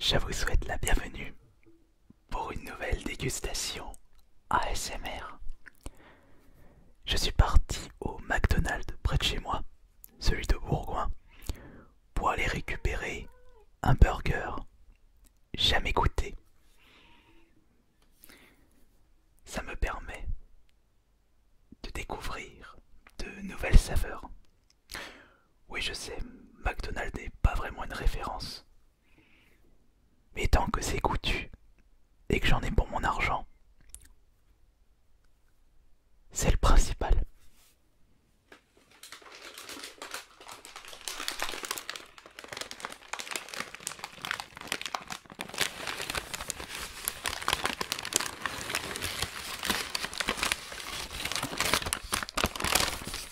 Je vous souhaite la bienvenue pour une nouvelle dégustation ASMR. Je suis parti au McDonald's près de chez moi, celui de Bourgoin, pour aller récupérer un burger jamais goûté. Ça me permet de découvrir de nouvelles saveurs oui, je sais, McDonald n'est pas vraiment une référence. Mais tant que c'est coutu et que j'en ai pour mon argent, c'est le principal.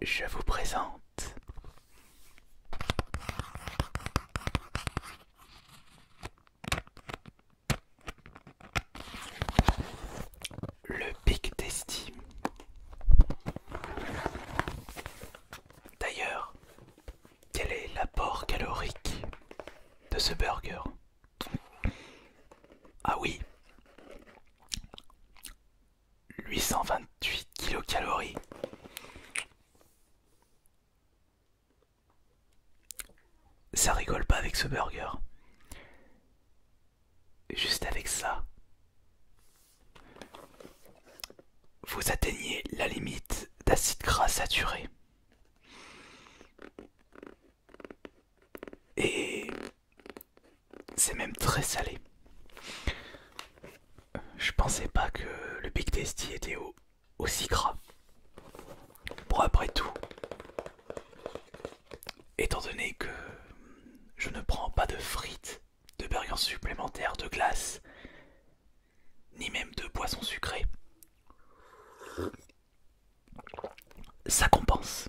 Je vous présente le pic d'estime. D'ailleurs, quel est l'apport calorique de ce burger Ah oui 828 kilocalories. Ça rigole pas avec ce burger juste avec ça, vous atteignez la limite d'acide gras saturé. Et c'est même très salé. Je pensais pas que le Big Tasty était aussi gras. Bon après tout, étant donné que je ne prends pas de frites, de burgers supplémentaires, de glace, ni même de poissons sucrées, ça compense.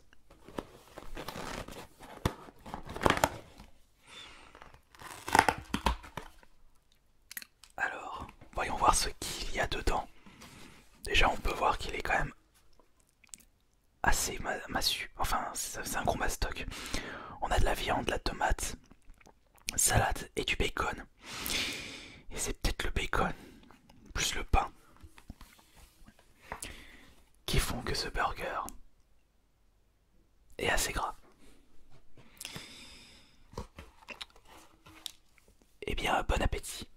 Alors, voyons voir ce qu'il y a dedans. Déjà, on peut voir qu'il est quand même assez massue Enfin, c'est un gros mastoc. On a de la viande, de la tomate, salade et du bacon. Et c'est peut-être le bacon, plus le pain, qui font que ce burger est assez gras. et eh bien, bon appétit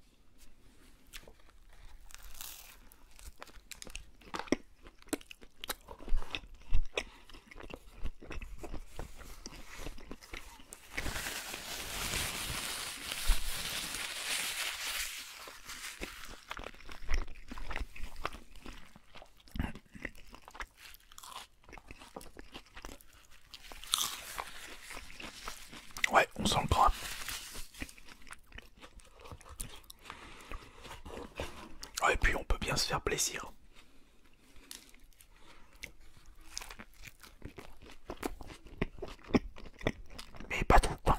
Ouais, on sent le gras. Ah, et puis on peut bien se faire plaisir. Mais pas tout le temps.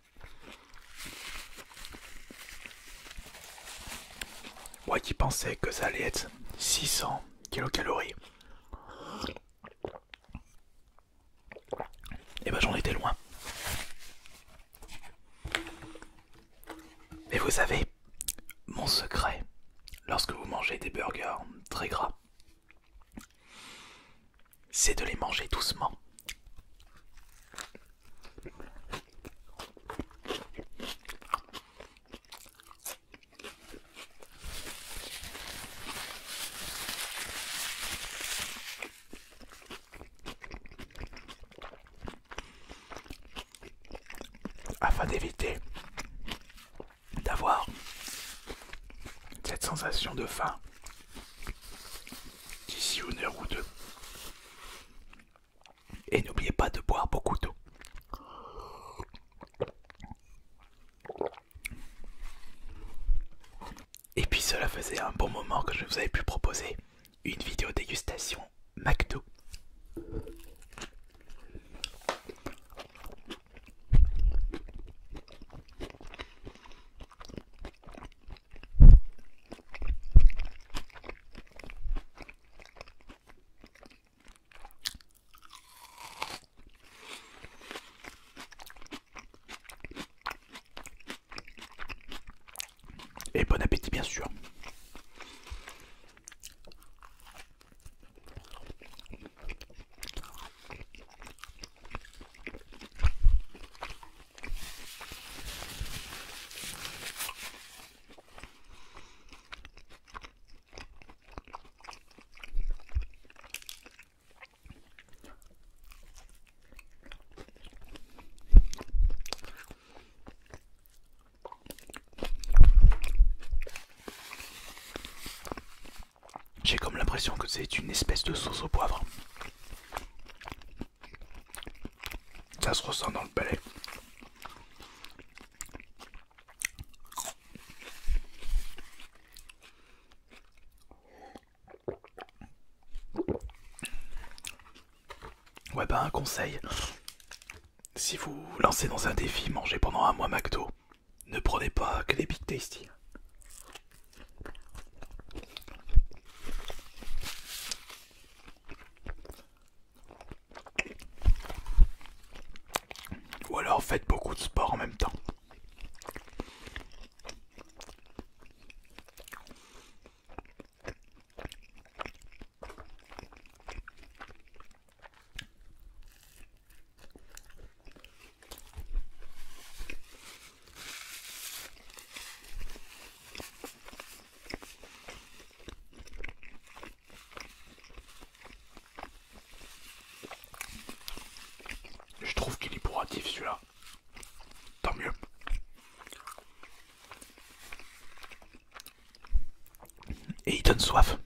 Moi qui pensais que ça allait être 600 kilocalories. Et bah ben j'en étais loin. Mais vous savez, mon secret, lorsque vous mangez des burgers très gras, c'est de les manger doucement. Afin d'éviter d'avoir cette sensation de faim d'ici une heure ou deux, et n'oubliez pas de boire beaucoup d'eau. Et puis cela faisait un bon moment que je vous avais pu proposer une vidéo dégustation McDo. Et bon appétit bien sûr. J'ai comme l'impression que c'est une espèce de sauce au poivre. Ça se ressent dans le palais. Ouais bah un conseil, si vous lancez dans un défi, mangez pendant un mois McDo, ne prenez pas que les Big Tasty. Ou alors faites beaucoup de sport en même temps. Je trouve qu'il est pourratif celui-là. Tant mieux. Et il donne soif.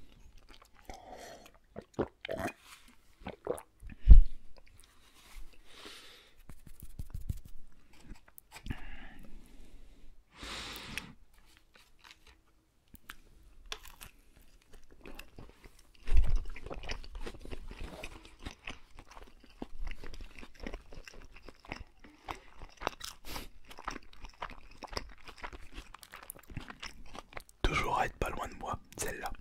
Toujours à être pas loin de moi, celle-là.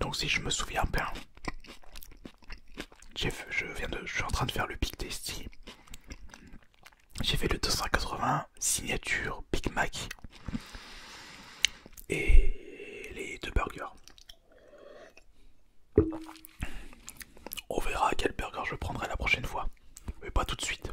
Donc si je me souviens bien, j'ai je viens de, je suis en train de faire le Big Tasty. J'ai fait le 280 signature Big Mac et les deux burgers. On verra quel burger je prendrai la prochaine fois, mais pas tout de suite.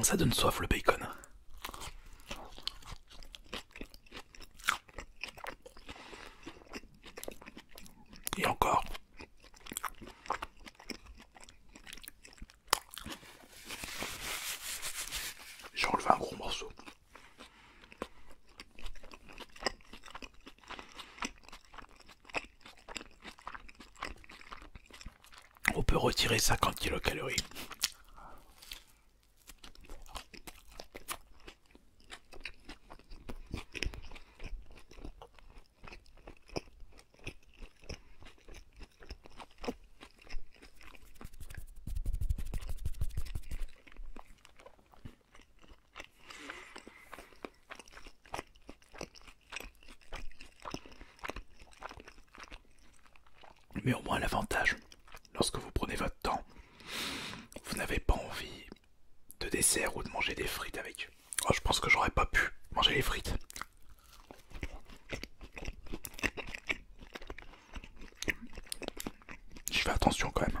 Ça donne soif le bacon. Et encore. J'ai un gros morceau on peut retirer 50 kilocalories. Mais au moins l'avantage, lorsque vous prenez votre temps, vous n'avez pas envie de dessert ou de manger des frites avec. Oh, je pense que j'aurais pas pu manger les frites. Je fais attention quand même.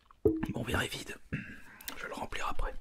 Mon verre est vide. Je le remplirai après.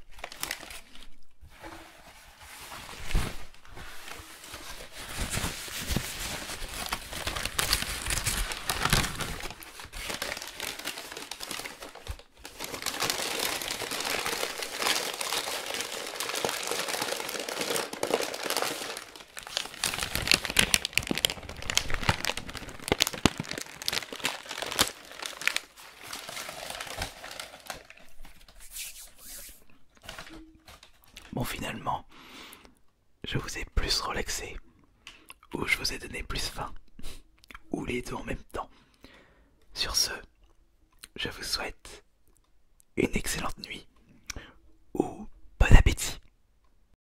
Bon finalement, je vous ai plus relaxé, ou je vous ai donné plus faim, ou les deux en même temps. Sur ce, je vous souhaite une excellente nuit, ou bon appétit.